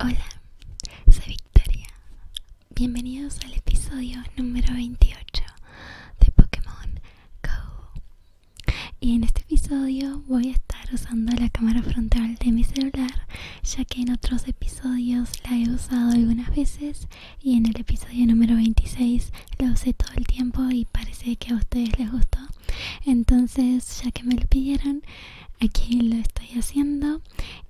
Hola, soy Victoria. Bienvenidos al episodio número 28 de Pokémon Go. Y en este episodio voy a estar usando la cámara frontal de mi celular, ya que en otros episodios la he usado algunas veces y en el episodio número 26 la usé todo el tiempo y parece que a ustedes les gustó. Entonces, ya que me lo pidieron, aquí lo estoy haciendo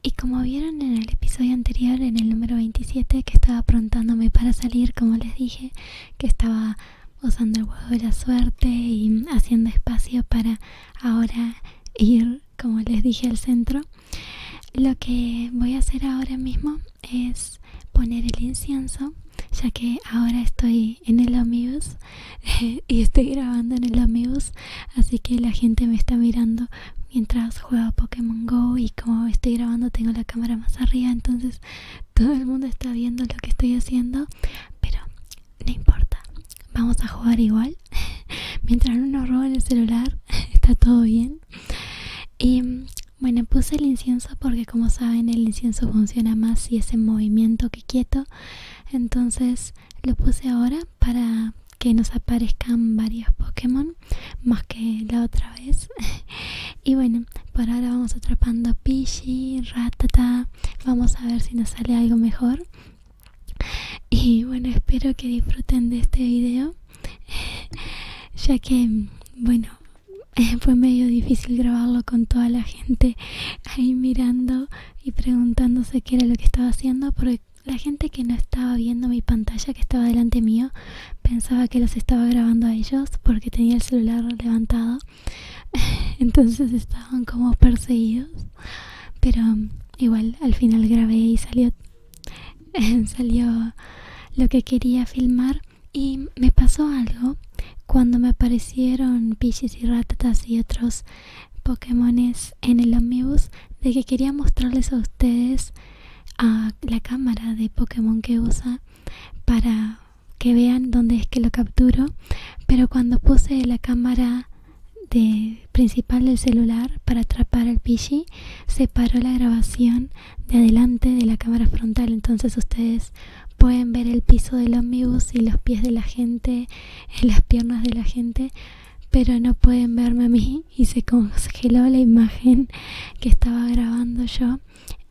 y como vieron en el episodio anterior en el número 27 que estaba aprontándome para salir como les dije que estaba usando el huevo de la suerte y haciendo espacio para ahora ir como les dije al centro lo que voy a hacer ahora mismo es poner el incienso ya que ahora estoy en el amigos y estoy grabando en el amigos así que la gente me está mirando mientras juego Pokémon Go y como estoy grabando tengo la cámara más arriba entonces todo el mundo está viendo lo que estoy haciendo pero no importa vamos a jugar igual mientras uno roba el celular está todo bien y bueno puse el incienso porque como saben el incienso funciona más si es en movimiento que quieto entonces lo puse ahora para que nos aparezcan varios Pokémon más que la otra vez y bueno por ahora vamos atrapando Pichi, Ratata vamos a ver si nos sale algo mejor y bueno espero que disfruten de este video ya que bueno fue medio difícil grabarlo con toda la gente ahí mirando y preguntándose qué era lo que estaba haciendo porque la gente que no estaba viendo mi pantalla que estaba delante mío pensaba que los estaba grabando a ellos porque tenía el celular levantado entonces estaban como perseguidos pero igual al final grabé y salió salió lo que quería filmar y me pasó algo cuando me aparecieron pichis y ratatas y otros es en el Omnibus de que quería mostrarles a ustedes a la cámara de Pokémon que usa para que vean dónde es que lo capturo pero cuando puse la cámara principal del celular para atrapar al Pidgey se paró la grabación de adelante de la cámara frontal entonces ustedes pueden ver el piso del omnibus y los pies de la gente en las piernas de la gente, pero no pueden verme a mí y se congeló la imagen que estaba grabando yo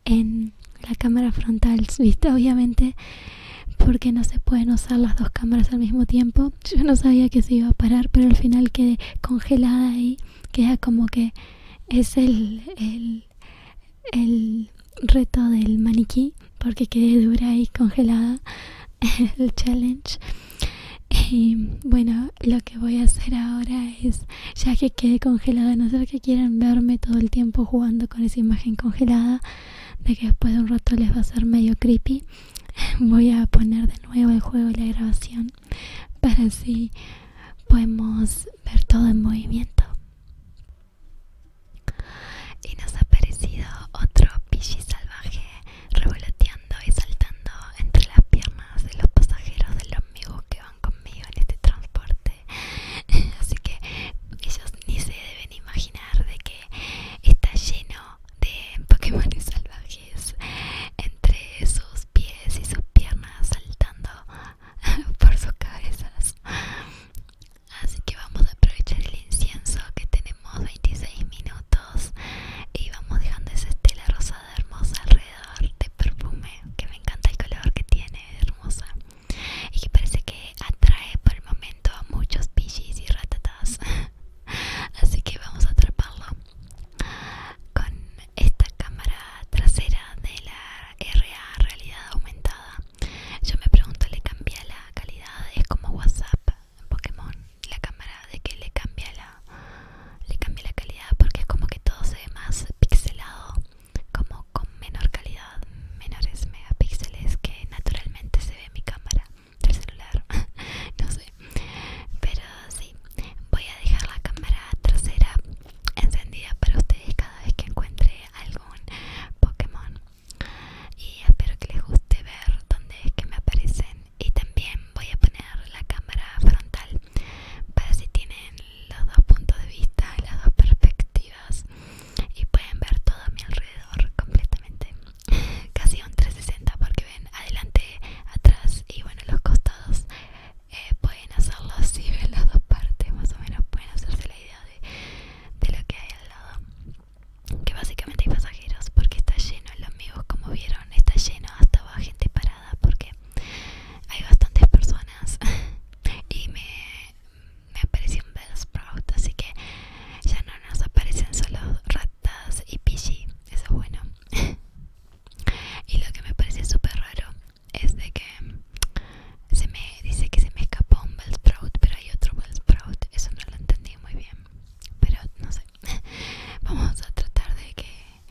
en la cámara frontal, vista Obviamente, porque no se pueden usar las dos cámaras al mismo tiempo. Yo no sabía que se iba a parar, pero al final quedé congelada y queda como que es el, el reto del maniquí porque quedé dura y congelada el challenge y bueno lo que voy a hacer ahora es ya que quedé congelada no sé que quieran verme todo el tiempo jugando con esa imagen congelada de que después de un rato les va a ser medio creepy voy a poner de nuevo el juego y la grabación para así podemos ver todo en movimiento y nos ha aparecido otro pichi salvaje revoloteando y saltando entre las piernas de los pasajeros del amigos que van conmigo en este transporte. Así que ellos ni se deben imaginar de que está lleno de Pokémon salvajes entre sus pies y sus piernas saltando por sus cabezas. Así que vamos a aprovechar el incienso que tenemos 26 minutos y vamos dejando esa estela rosada hermosa alrededor de perfume que me encanta el color que tiene, hermosa. Y que parece que atrae por el momento a muchos pichis y ratatas. Así que vamos a atraparlo con esta cámara trasera de la RA realidad aumentada yo me pregunto, ¿le cambia la calidad? Es como WhatsApp en Pokémon, la cámara de que le cambia la le cambia la calidad porque es como que todo se ve más pixelado, como con menor calidad, menores megapíxeles que naturalmente se ve en mi cámara del celular. no sé. Pero sí, voy a dejar la cámara trasera encendida para ustedes cada vez que encuentre algún Pokémon y espero que les guste ver dónde es que me aparecen y también voy a poner la cámara frontal para si tienen los dos puntos de vista las dos perspectivas y pueden ver todo a mi alrededor completamente casi un 360 porque ven adelante atrás y bueno los costados eh, pueden hacerlo así ven las dos partes más o menos pueden hacerse la idea de lo que hay al lado que básicamente hay pasajeros porque está lleno los amigos como vieron está lleno hasta va gente parada porque hay bastantes personas y me, me apareció un Bellsprout así que ya no nos aparecen solo ratas y pichi eso es bueno y lo que me parece súper raro es de que se me dice que se me escapó un Bell Sprout, pero hay otro Bell Sprout. Eso no lo entendí muy bien, pero no sé. Vamos a tratar de que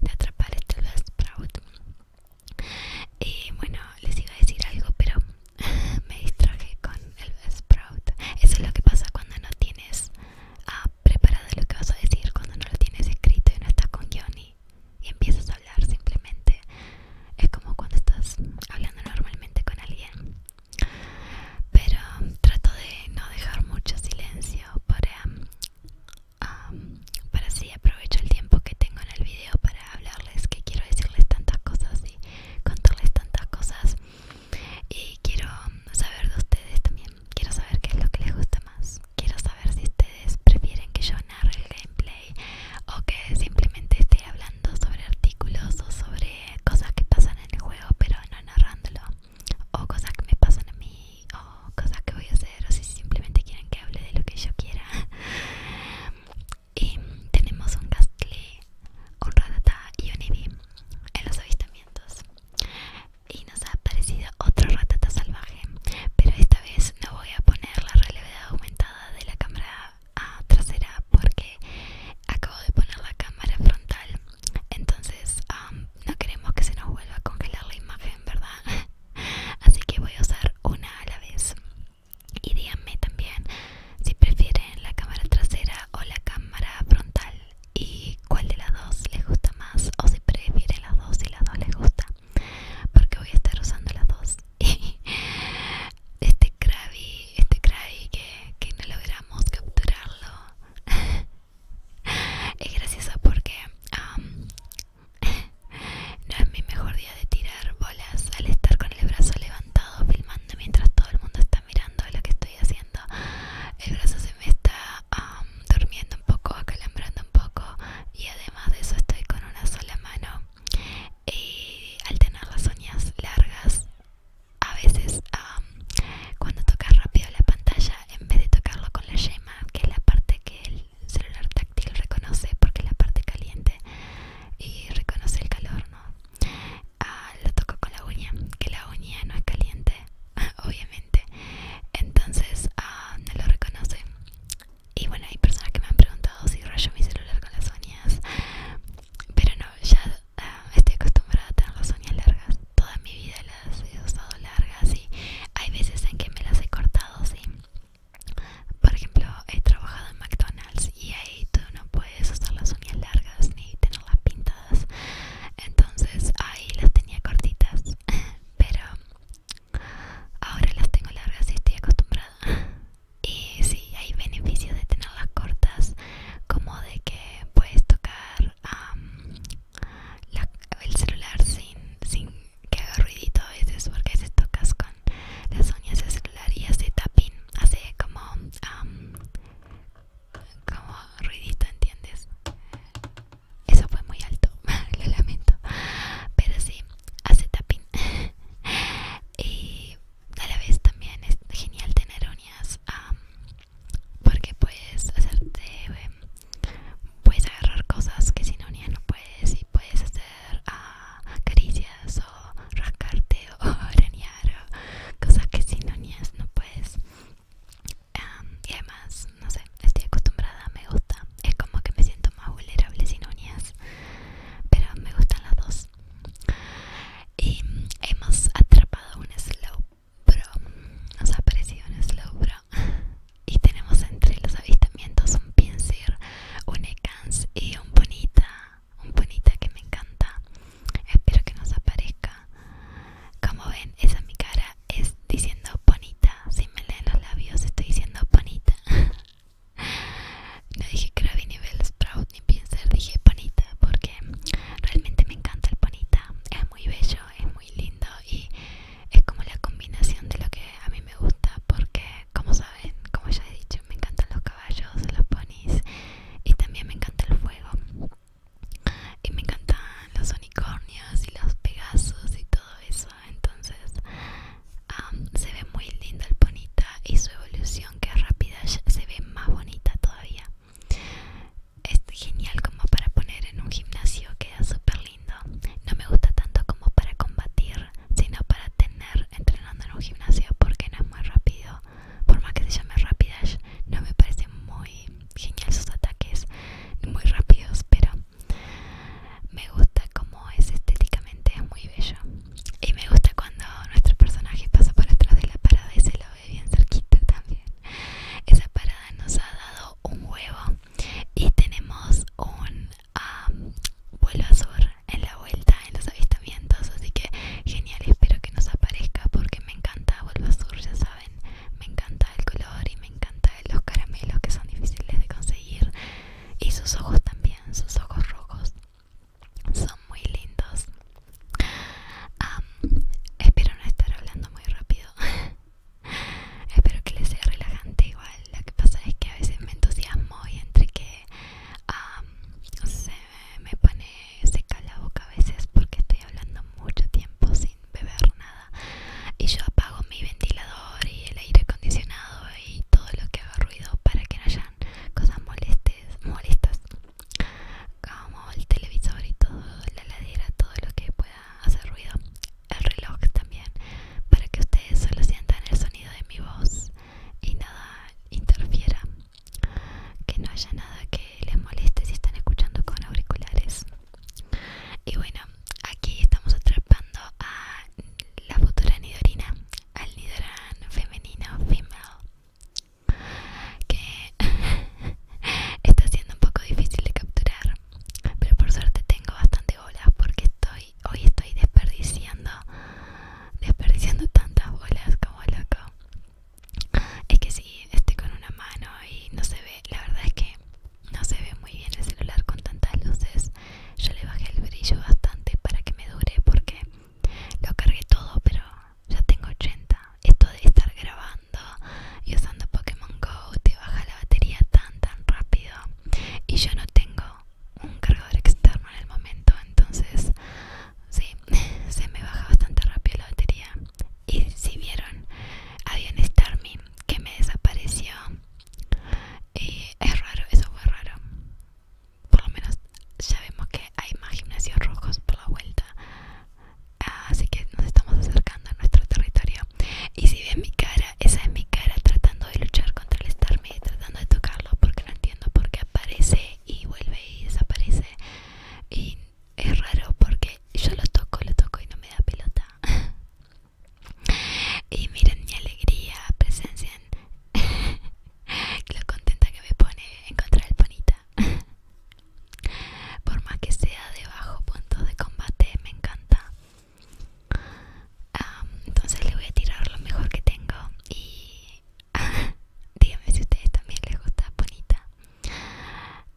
de atrapar este Bell Sprout. Y bueno, les iba a decir algo, pero me distraje con el Bell Sprout. Eso es lo que pasa cuando no tienes ah, preparado lo que vas a decir, cuando no lo tienes escrito y no estás con Johnny y empiezas a hablar simplemente es como cuando estás hablando normalmente con alguien pero trato de no dejar mucho silencio para para así aprovecho el tiempo que tengo en el video para hablarles que quiero decirles tantas cosas y contarles tantas cosas y quiero saber de ustedes también quiero saber qué es lo que les gusta más quiero saber si ustedes prefieren que yo narre el gameplay o que simplemente esté hablando sobre artículos o sobre cosas que pasan en el juego pero no narrándolo o cosas que me pasan a mí o cosas que voy a hacer o si simplemente quieren que hable de lo que yo quiera y tenemos un Gastly, un Ratata y un Eevee en los avistamientos y nos ha aparecido otro Ratata salvaje pero esta vez no voy a poner la realidad aumentada de la cámara trasera porque acabo de poner la cámara frontal entonces um, no queremos que se nos vuelva a congelar la imagen verdad así que voy a usar una a la vez y díganme también si prefieren la cámara trasera o la cámara frontal y cuál de las dos les gusta más o si prefieren las dos y las dos les gusta porque voy a estar usando las dos este Krabby, este que, no logramos capturarlo. es gracioso porque no es mi mejor día de tirar bolas al estar con el brazo levantado filmando mientras todo el mundo está mirando lo que estoy haciendo. El brazo se me está durmiendo un poco, acalambrando un poco y además de eso estoy con una sola mano y eh, al tener las uñas largas a veces cuando tocas rápido la pantalla en vez de tocarlo con la yema que es la parte que el celular táctil reconoce porque es la parte caliente y reconoce el calor no ah, lo toco con la uña que la uña no es caliente obviamente entonces ah, no lo reconoce y bueno hay personas que me han preguntado si rayo mi celular con las uñas pero no, ya ah, estoy acostumbrada a tener las uñas largas. Toda mi vida las he usado largas y hay veces en que me las he cortado, Por ejemplo, he trabajado en McDonald's y ahí tú no puedes usar las uñas largas ni tenerlas pintadas. Entonces ahí las tenía cortitas. Pero ahora las tengo largas y estoy acostumbrada y sí hay beneficios de tenerlas cortas como de que puedes tocar el celular sin, que haga ruidito a veces porque si tocas con las uñas del celular y hace tapping hace como como ruidito entiendes eso fue muy alto lo lamento pero sí hace tapping y a la vez también es genial tener uñas porque puedes hacerte em, puedes agarrar cosas que sin uñas no puedes y puedes hacer caricias o rascarte o arañar cosas que sin uñas no puedes y además no sé estoy acostumbrada me gusta es como que me siento más vulnerable sin uñas pero me gustan las dos y hemos atrapado un slow bro nos ha aparecido un slow bro y tenemos entre los avistamientos un pinsir un ecans y un bonita un bonita que me encanta espero que nos aparezca como ven esa mi cara es diciendo bonita si me leen los labios estoy diciendo bonita No dije Krabby ni Bell Sprout ni Pinsir, dije Panita porque realmente me encanta el Panita. Es muy bello, es muy lindo y es como la combinación de lo que a mí me gusta porque, como saben, como ya he dicho, me encantan los caballos, los ponis y también me encanta el fuego. Y me encantan los unicornios y los pegasos y todo eso. Entonces se ve muy lindo el ponita y su evolución aunque RAPIDASH rápida se ve más bonita todavía es genial como para poner en un gimnasio queda súper lindo no me gusta tanto como para combatir sino para tener entrenando en un gimnasio porque no es muy rápido por más que se llame Rapidash no me parecen muy genial sus ataques muy rápidos pero me gusta como es estéticamente es muy bello y me gusta cuando nuestro personaje pasa por atrás de la parada y se lo ve bien cerquita también. Esa parada nos ha dado un huevo y tenemos un vuelo azul en la vuelta en los avistamientos. Así que genial, espero que nos aparezca porque me encanta vuelo azul, ya saben. Me encanta el color y me encanta los caramelos que son difíciles de conseguir. Y sus ojos también, sus ojos rojos son muy lindos espero no estar hablando muy rápido espero que les sea relajante igual lo que pasa es que a veces me entusiasmo y entre que no se me pone seca la boca a veces porque estoy hablando mucho tiempo sin beber nada y yo apago mi ventilador y el aire acondicionado y todo lo que haga ruido para que no hayan cosas molestas molestas como el televisor y todo, la ladera, todo lo que pueda hacer ruido, el reloj también, para que ustedes solo sientan el sonido de mi voz y nada interfiera, que no haya nada que les moleste si están escuchando con auriculares. Y bueno, aquí estamos atrapando a la futura Nidorina, al Nidoran femenino female que está siendo un poco difícil de capturar pero por suerte tengo bastante bolas porque estoy hoy estoy desperdiciando desperdiciando tantas bolas como loco es que si sí, estoy con una mano y no se ve la verdad es que no se ve muy bien el celular con tantas luces yo le bajé el brillo bastante para que me dure porque lo cargué todo, pero ya tengo 80. Esto de estar grabando y usando Pokémon Go te baja la batería tan tan rápido. Y yo no tengo un cargador externo en el momento, entonces sí, se me baja bastante rápido la batería. Y si vieron, había un Starmin que me desapareció. es raro, eso fue raro por lo menos ya vemos que hay más gimnasios rojos por la vuelta así que nos estamos acercando a nuestro territorio y si ven mi cara esa es mi cara tratando de luchar contra el estarme tratando de tocarlo porque no entiendo por qué aparece y vuelve y desaparece y es raro porque yo lo toco lo toco y no me da pelota y miren mi alegría presencien Lo contenta que me pone encontrar el bonita. Por más que sea de bajo punto de combate, me encanta. entonces le voy a tirar lo mejor que tengo y díganme si a ustedes también les gusta bonita.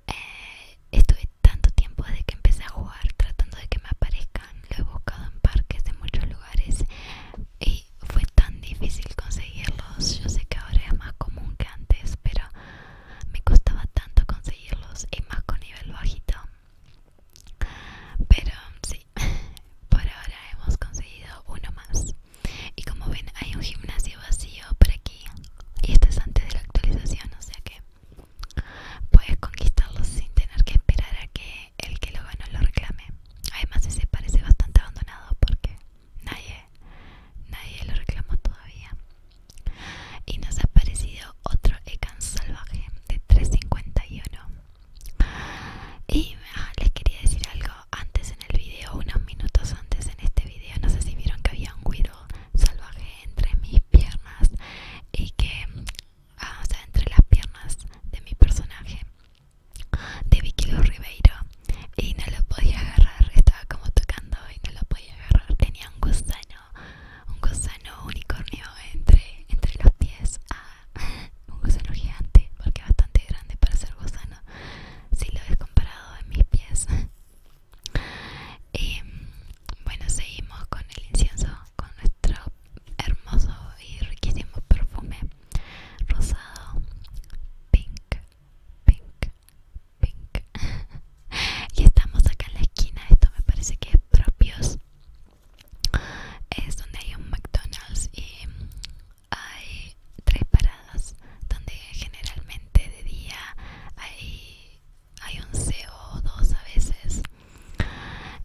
Eh, estuve tanto tiempo desde que empecé a jugar tratando de que me aparezcan. Lo he buscado en parques, de muchos lugares, y eh, fue tan difícil conseguirlos. Yo sé que ahora es más común que antes, pero me costaba tanto conseguirlos y más con nivel bajito. Pero sí, por ahora hemos conseguido uno más. Y como ven, hay un gimnasio vacío por aquí. Y esto es antes de la actualización, o sea que puedes conquistarlos sin tener que esperar a que el que lo no lo reclame. Además ese parece bastante abandonado porque nadie, nadie lo reclamó todavía. Y nos ha aparecido otro Ekan salvaje de 351. Y ah, les quería decir algo antes en el video, unos minutos antes en este video, no sé si vieron que había un guido salvaje entre mis piernas y que, ah, o sea, entre las piernas de mi personaje de Vicky Ribeiro y no lo podía agarrar, estaba como tocando y no lo podía agarrar, tenía un gusano, un gusano unicornio entre, entre los pies, ah, un gusano gigante, porque bastante grande para ser gusano, si lo he comparado en mis pies. Y bueno, seguimos con el incienso, con nuestro hermoso y riquísimo perfume rosado, pink, pink, pink. y estamos acá en la esquina, esto me parece que es propios. Es donde hay un McDonald's y hay tres paradas donde generalmente de día hay, hay un CO o dos a veces.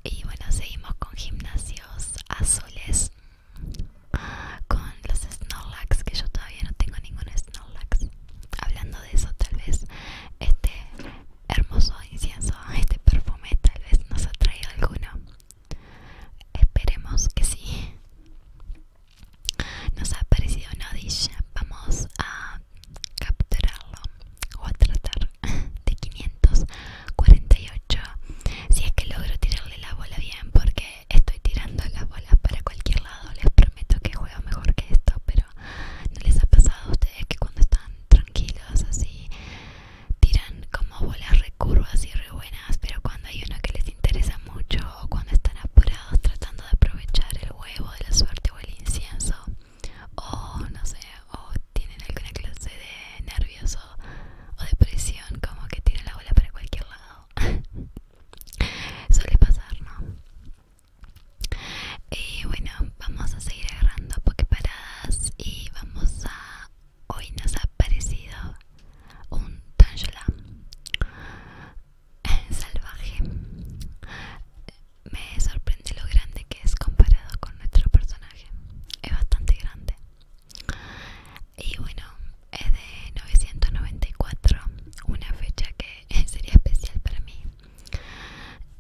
Y bueno, seguimos con gimnasios azules con los Snorlax, que yo todavía no tengo ningún Snorlax. Hablando de eso, tal vez este hermoso incienso, este perfume, tal vez nos atraiga alguno. Esperemos que sí. Nos ha aparecido un vamos a capturarlo o a tratar de 548 si es que logro tirarle la bola bien porque estoy tirando la bola para cualquier lado les prometo que juego mejor que esto pero no les ha pasado a ustedes que cuando están tranquilos así tiran como bolas recurvas y re buenas pero cuando hay una que les interesa mucho o cuando están apurados tratando de aprovechar el huevo de la suerte o el incienso o no sé o tienen alguna clase de nervios o, depresión, como que tiran la bola para cualquier lado. Suele pasar, ¿no? Y bueno, vamos a seguir agarrando pokeparadas y vamos a... Hoy nos ha aparecido un Tangela salvaje. Me sorprende lo grande que es comparado con nuestro personaje. Es bastante grande. Y bueno, es de 994, una fecha que sería especial para mí.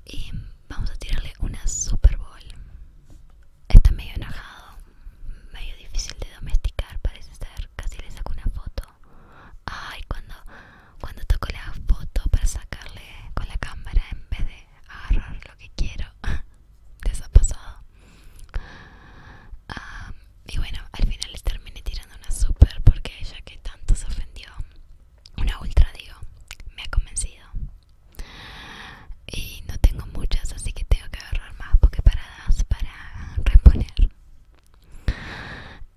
Y vamos a tirarle una Super Bowl. Está medio enojado, medio difícil de domesticar, parece ser. Casi le saco una foto. Ay, cuando, cuando toco la foto para sacarle con la cámara en vez de agarrar lo que quiero. de ha pasado? y bueno al final le terminé tirando una super porque ella que tanto se ofendió una ultra digo me ha convencido y no tengo muchas así que tengo que agarrar más porque para reponer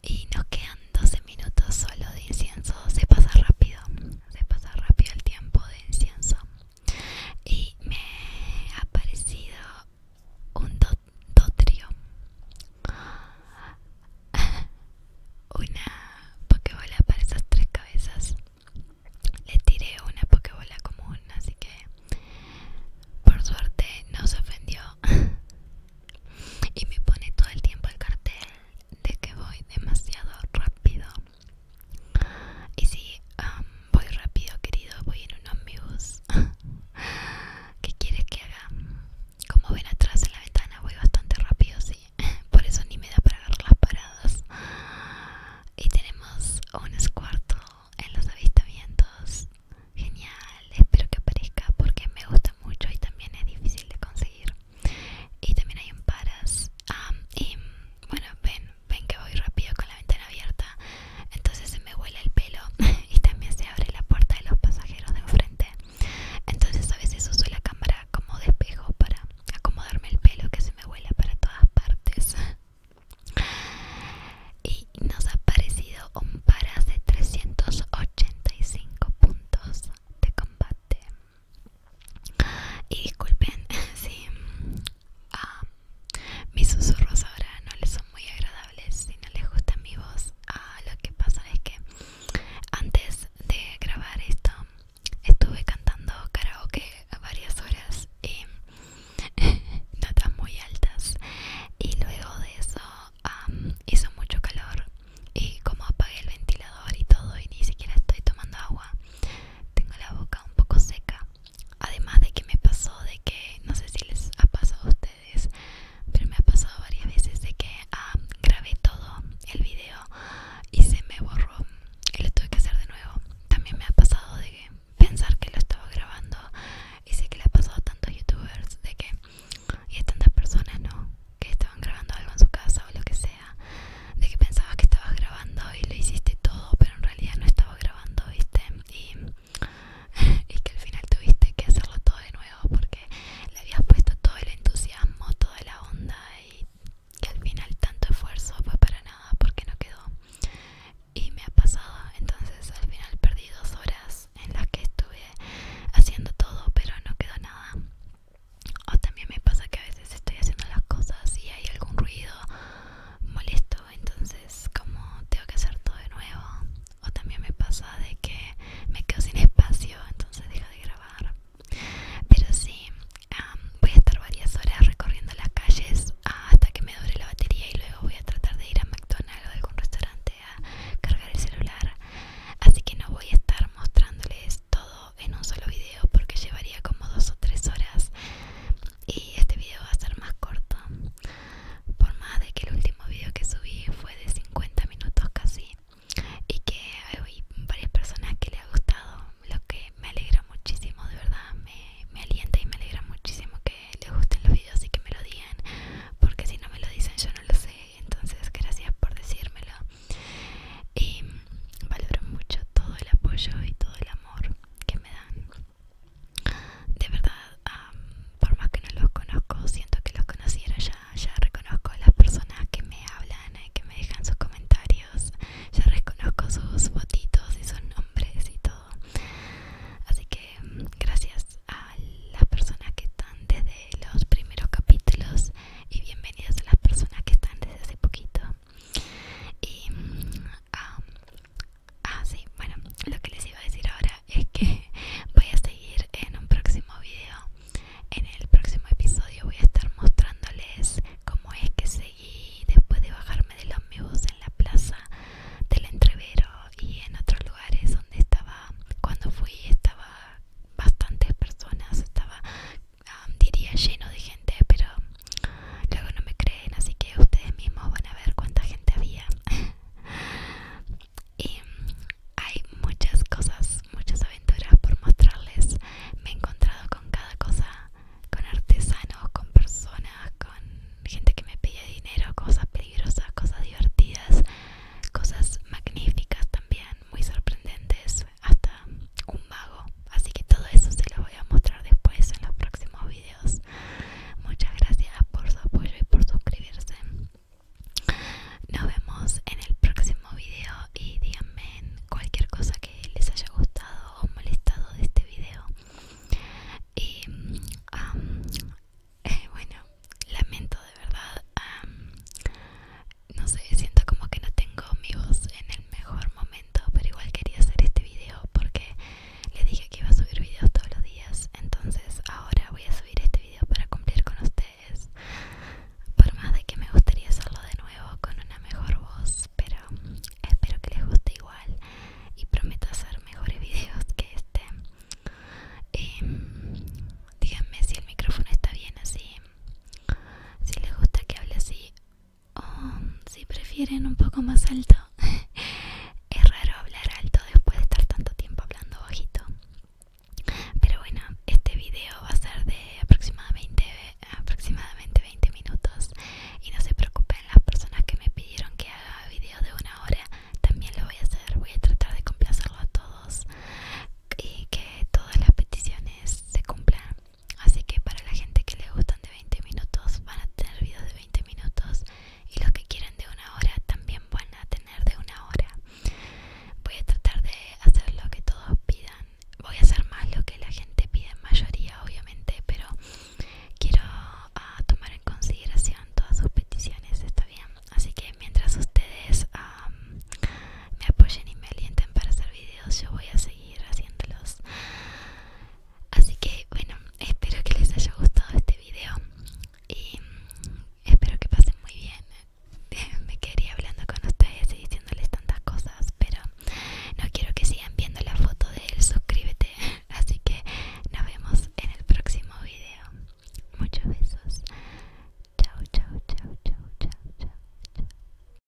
y nos quedan 12 minutos solo de incienso se pasa rápido se pasa rápido el tiempo de incienso y me ha parecido un dotrio una pokebola para esas tres cabezas le tiré una pokebola común así que por suerte no se ofendió y me pone todo el tiempo el cartel de que voy demasiado rápido y sí, voy rápido, querido, voy en un omnibus. ¿Qué quieres que haga? Como ven atrás en la ventana, voy bastante rápido, sí. Por eso ni me da para agarrar las paradas. Y tenemos un escuarto en los avistamientos. Genial, espero que aparezca porque me gusta mucho y también es difícil de conseguir. Y también hay un paras. y bueno, ven, ven que voy rápido con la ventana abierta, entonces se me vuela el pelo y también se abre la puerta de los pasajeros de enfrente. Entonces a veces uso la cámara como despejo para acomodarme el pelo que se me vuela para todas partes. Y nos ha parecido un paras de 385 puntos de combate. Y disculpen si mm, ah, mis susurros ahora no les son muy agradables, si no les gusta mi voz. Ah, lo que pasa es que antes de grabar esto estuve cantando karaoke varias horas y notas muy altas. Y luego de eso ah, hizo mucho calor y como apagué el ventilador y todo y ni siquiera estoy tomando agua tengo la boca un poco seca. Además de que me pasó de que, no sé si les ha pasado a ustedes, pero me ha pasado varias veces de que ah, grabé todo el video y se me borró y lo tuve que hacer de nuevo. También me ha pasado de pensar que lo estaba grabando y sé que le ha pasado a tantos youtubers de que y a tantas personas no que estaban grabando algo en su casa o lo que sea de que pensabas que estabas grabando y lo hiciste todo pero en realidad no estaba grabando viste y, y que al final tuviste que hacerlo todo de nuevo porque le habías puesto todo el entusiasmo toda la onda y que al final tanto esfuerzo fue para nada porque no quedó y me ha pasado entonces al final perdí dos horas en las que estuve haciendo todo pero no quedó nada o también me pasa que a veces estoy haciendo las cosas y hay algún ruido molesto, entonces como tengo que hacer todo de nuevo. O también me pasa de que me quedo sin espacio, entonces dejo de grabar. Pero sí, voy a estar varias horas recorriendo las calles hasta que me dure la batería y luego voy a tratar de ir a McDonald's o a algún restaurante a cargar el celular. Así que no voy a estar mostrándoles todo en un solo video porque llevaría como dos o tres horas y este video va a ser más corto por más de que el último video que subí fue de 50 minutos casi y que hay varias personas que le ha gustado lo que me alegra muchísimo de verdad me, me alienta y me alegra muchísimo que les gusten los videos y que me lo digan porque si no me lo dicen yo no lo sé entonces gracias por decírmelo y valoro mucho todo el apoyo y todo el amor que me dan. De verdad, por más que no los conozco, siento que los conociera ya, ya reconozco a las personas que me hablan, eh, que me dejan sus comentarios, ya reconozco sus botitos y sus nombres y todo. Así que mm, gracias a las personas que están desde los primeros capítulos y bienvenidas a las personas que están desde hace poquito. Y ah, ah sí, bueno, lo que les iba a decir ahora es que voy a seguir en un próximo video. En el próximo episodio voy a estar mostrándoles cómo es que seguí después de bajarme del Omnibus en la plaza del entrevero y en otros lugares donde estaba cuando fui estaba bastantes personas, estaba Ah, diría lleno de gente, pero luego no me creen, así que ustedes mismos van a ver cuánta gente había. y hay muchas cosas, muchas aventuras por mostrarles. Me he encontrado con cada cosa, con artesanos, con personas, con gente que me pide dinero, cosas peligrosas, cosas divertidas, cosas magníficas también, muy sorprendentes hasta un vago Así que todo eso se lo voy a mostrar después en los próximos videos. Muchas gracias por su apoyo y por suscribirse. Nos vemos en el próximo video y díganme cualquier cosa que les haya gustado o molestado de este video. Y eh, bueno, lamento de verdad, no sé, siento como que no tengo mi voz en el mejor momento pero igual quería hacer este video porque les dije que iba a subir videos todos los días entonces ahora voy a subir este video para cumplir con ustedes por más de que me gustaría hacerlo de nuevo con una mejor voz pero espero que les guste igual y prometo hacer mejores videos que este em, díganme si el micrófono está bien así si les gusta que hable así o um, si prefieren un poco más alto. es raro hablar alto después de estar tanto tiempo hablando bajito. Pero bueno, este video va a ser de aproximadamente, aproximadamente 20 minutos. Y no se preocupen, las personas que me pidieron que haga video de una hora también lo voy a hacer. Voy a tratar de complacerlo a todos y que todas las peticiones se cumplan. Así que para la gente que le gustan de 20 minutos van a tener videos de 20 minutos y los que quieren de una hora también van a tener de una hora. Voy a tratar de hacer lo que todos pidan. Voy a hacer más lo que la gente pide en mayoría, obviamente, pero quiero ah, tomar en consideración todas sus peticiones, ¿está bien? Así que mientras ustedes me apoyen y me alienten para hacer videos, yo voy a seguir haciéndolos así que bueno espero que les haya gustado este video y espero que pasen muy bien me quería hablando con ustedes y diciéndoles tantas cosas pero no quiero que sigan viendo la foto de él suscríbete así que nos vemos en el próximo video muchos besos chao chao chao chao chao chao